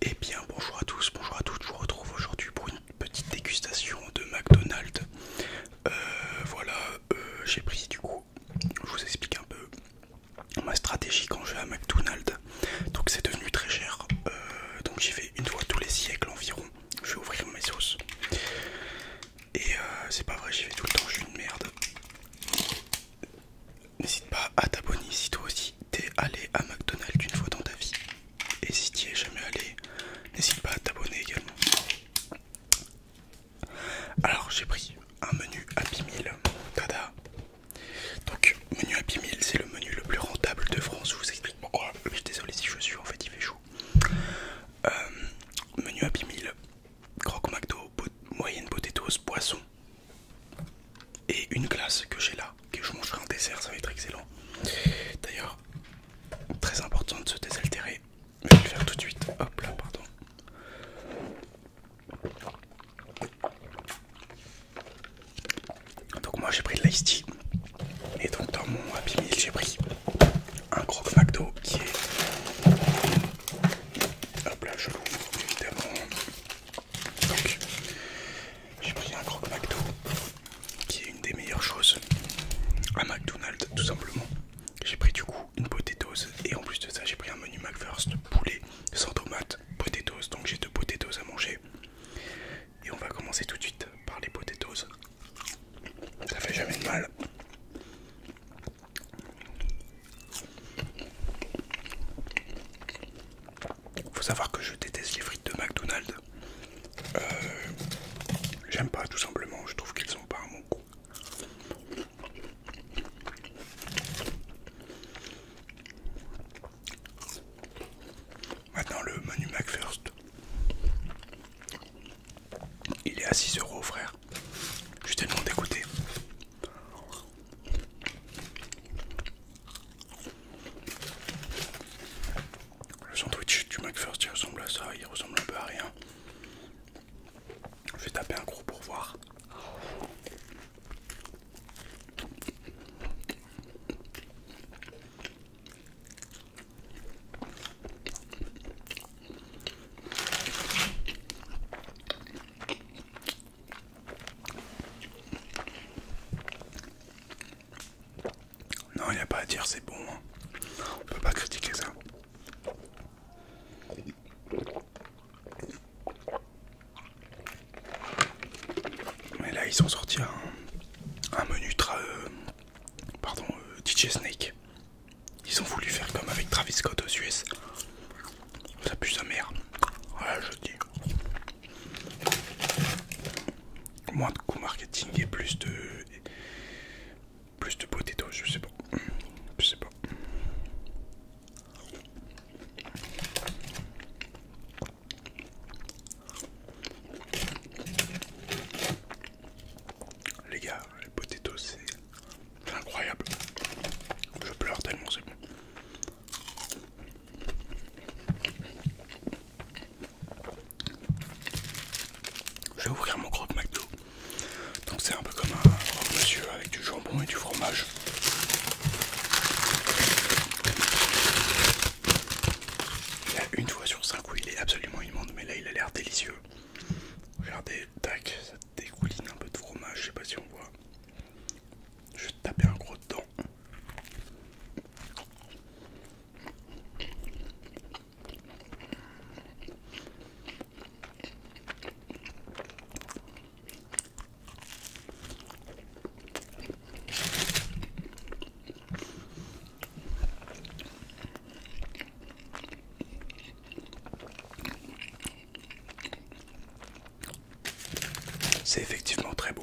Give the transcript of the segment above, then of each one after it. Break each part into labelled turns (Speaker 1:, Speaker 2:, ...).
Speaker 1: et eh bien bonjour à tous, bonjour à toutes, je vous retrouve aujourd'hui pour une petite dégustation de McDonald's. Euh, voilà, euh, j'ai pris du coup, je vous explique un peu ma stratégie quand je vais à McDonald's. Donc c'est devenu très cher, euh, donc j'y vais une fois tous les siècles environ. Je vais ouvrir mes sauces. Et c'est pas vrai, j'y vais tout le temps, je suis une merde. N'hésite pas à t'abonner si toi aussi t'es allé à McDonald's une fois dans ta vie. Et si t'y es jamais allé, n'hésite pas à t'abonner également. Alors j'ai pris un menu Happy Meal. Tada Donc menu Happy Meal c'est le menu le plus rentable de France. Je vous explique pourquoi. Je suis désolé si je suis en fait il fait chaud. Euh, menu Happy Meal, croque McDo, moyenne potatoes, poisson, et une glace que j'ai là, que je mangerai en dessert, ça va être excellent. D'ailleurs, très important de se désaltérer. Je vais le faire tout de suite. Hop là, pardon. Donc moi j'ai pris de l'ice tea et donc dans mon Happy Meal j'ai pris un croque McDo qui est... Hop là je l'ouvre évidemment. Donc, j'ai pris un croque McDo, qui est une des meilleures choses à McDonald's, tout simplement. J'ai pris du coup une potatoes et en plus de ça, j'ai pris un menu McFirst poulet sans tomate, potatoes. Donc, j'ai deux potatoes à manger. Et on va commencer tout de suite par les potatoes. Ça fait jamais de mal. Faut savoir que je déteste les frites de McDonald's. Euh, j'aime pas tout simplement, je trouve qu'ils sont pas à mon goût. Maintenant le menu McFirst. Il est à 6 euros frère. Je t'ai demandé d'écouter. Le sandwich du McFirst il ressemble à ça, il ressemble un peu à rien. Je vais taper un gros pour voir. Non, il n'y a pas à dire, c'est bon. On hein. On peut pas critiquer ça. Mais là, ils sont sortis un, menu tra... Euh, pardon, euh, DJ Snake. Ils ont voulu faire comme avec Travis Scott aux US. Ça pue sa mère. Voilà, je dis. Moins de coût marketing et plus de. Plus de potato, je sais pas. Je sais pas. Les gars, les potatoes c'est incroyable. Je pleure tellement c'est bon. Je vais ouvrir mon croque McDo. Donc c'est un peu comme un monsieur avec du jambon et du fromage. Il y a une fois sur cinq où il est absolument immonde, mais là il a l'air délicieux. Regardez, tac, dégouline un peu de fromage, je sais pas si on voit. Je tapais un gros dent. C'est effectivement très beau.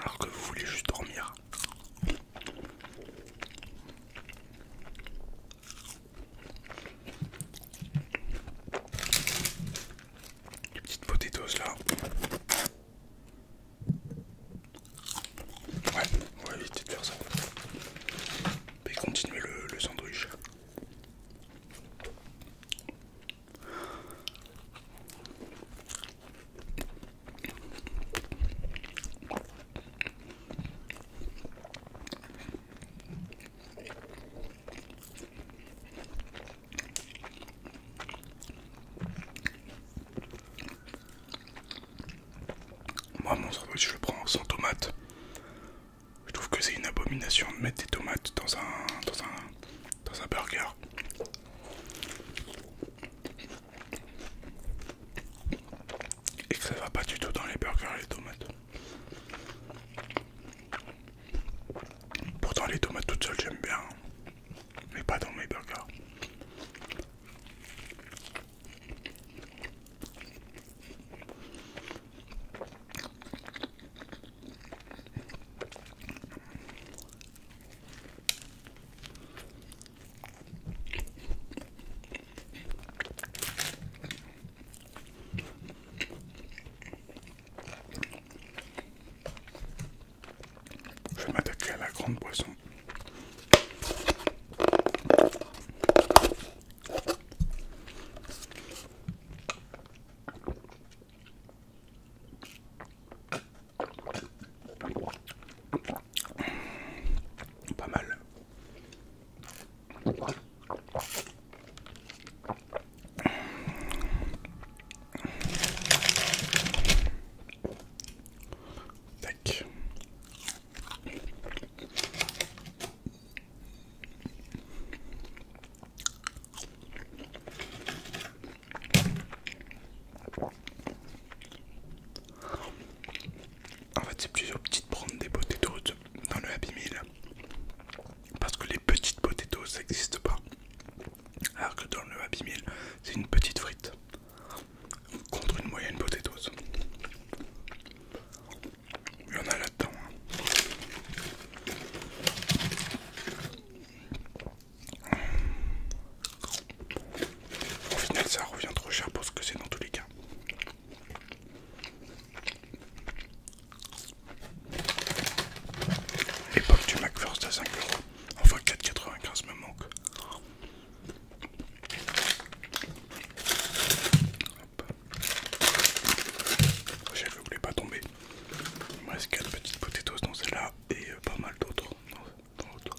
Speaker 1: alors que vous voulez juste dormir. Petite petites là. Ouais, on va éviter faire ça. Et continuer le sandwich. Moi mon sandwich je le prends sans tomate je trouve que c'est une abomination de mettre des tomates dans un, dans un, dans un burger. Et que ça va pas du tout dans les burgers les tomates. Pourtant les tomates toutes seules j'aime bien, hein. mais pas dans mes burgers. Je vais à la grande boisson. Pas mal. En fait, c'est plusieurs petites prendre des potatoes dans le Happy Meal. Parce que les petites potatoes ça n'existe pas. Alors que dans le Happy Meal, c'est une petite frite contre une moyenne potatoes. Il y en a là-dedans. Hein. Au final, ça revient trop cher pour ce que c'est dans tous les cas. Époque du McFirst à 5€, enfin 4,95 me manque ne voulez pas tomber. Il me reste 4 petites potatoes dans celle-là et euh, pas mal d'autres dans l'autre.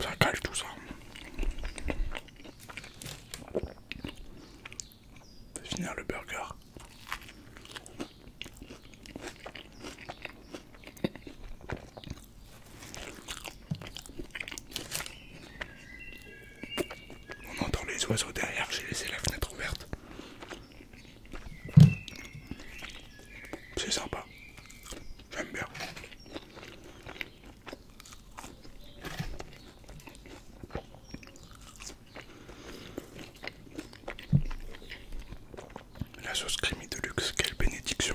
Speaker 1: Ça cache tout ça. finir le burger. On entend les oiseaux derrière, j'ai laissé la fenêtre ouverte. C'est sympa. La sauce crémie de luxe, quelle bénédiction.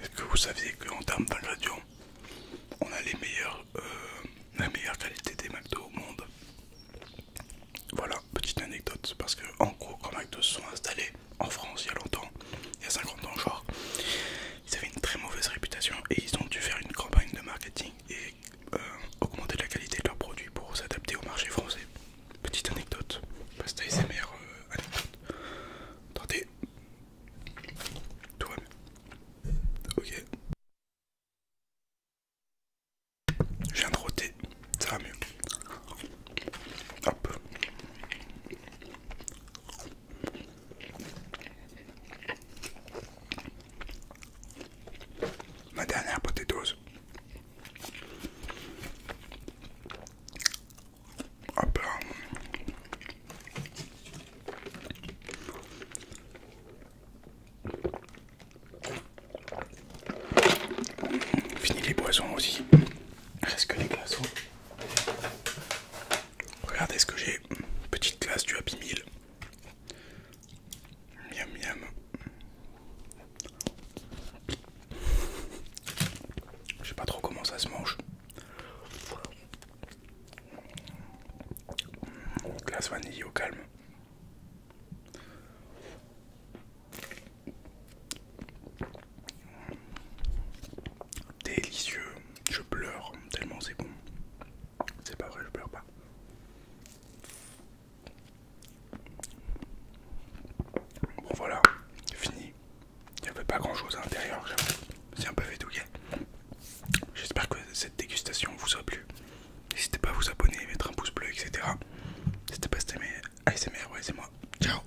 Speaker 1: Est-ce que vous saviez qu'en termes d'ingrédients, on a les euh, la meilleure qualité des McDo au monde Voilà, petite anecdote, parce que en gros, quand McDo se sont installés en France il y a longtemps, il y a 50 ans genre, ils avaient une très mauvaise réputation et ils ont dû faire une campagne de marketing et euh, augmenter la qualité de leurs produits pour s'adapter au marché français. Petite anecdote, pasta ASMR euh, Attendez, tout va mieux, Ok. viens de ça va mieux. Hop. Ma dernière potatoes. Hop là. Fini les boissons aussi. Reste que les glaçons. Regardez ce que j'ai. Petite glace du Happy Meal. Miam miam. Je sais pas trop comment ça se mange. Glace vanille au calme. Délicieux. Je pleure tellement c'est bon. C'est pas vrai, je pleure pas. Bon voilà, fini. Il n'y avait pas grand chose à l'intérieur, c'est un peu ok. J'espère que cette dégustation vous a plu. N'hésitez pas à vous abonner, mettre un pouce bleu, etc. N'hésitez pas à stammer ASMR, ouais c'est moi. Ciao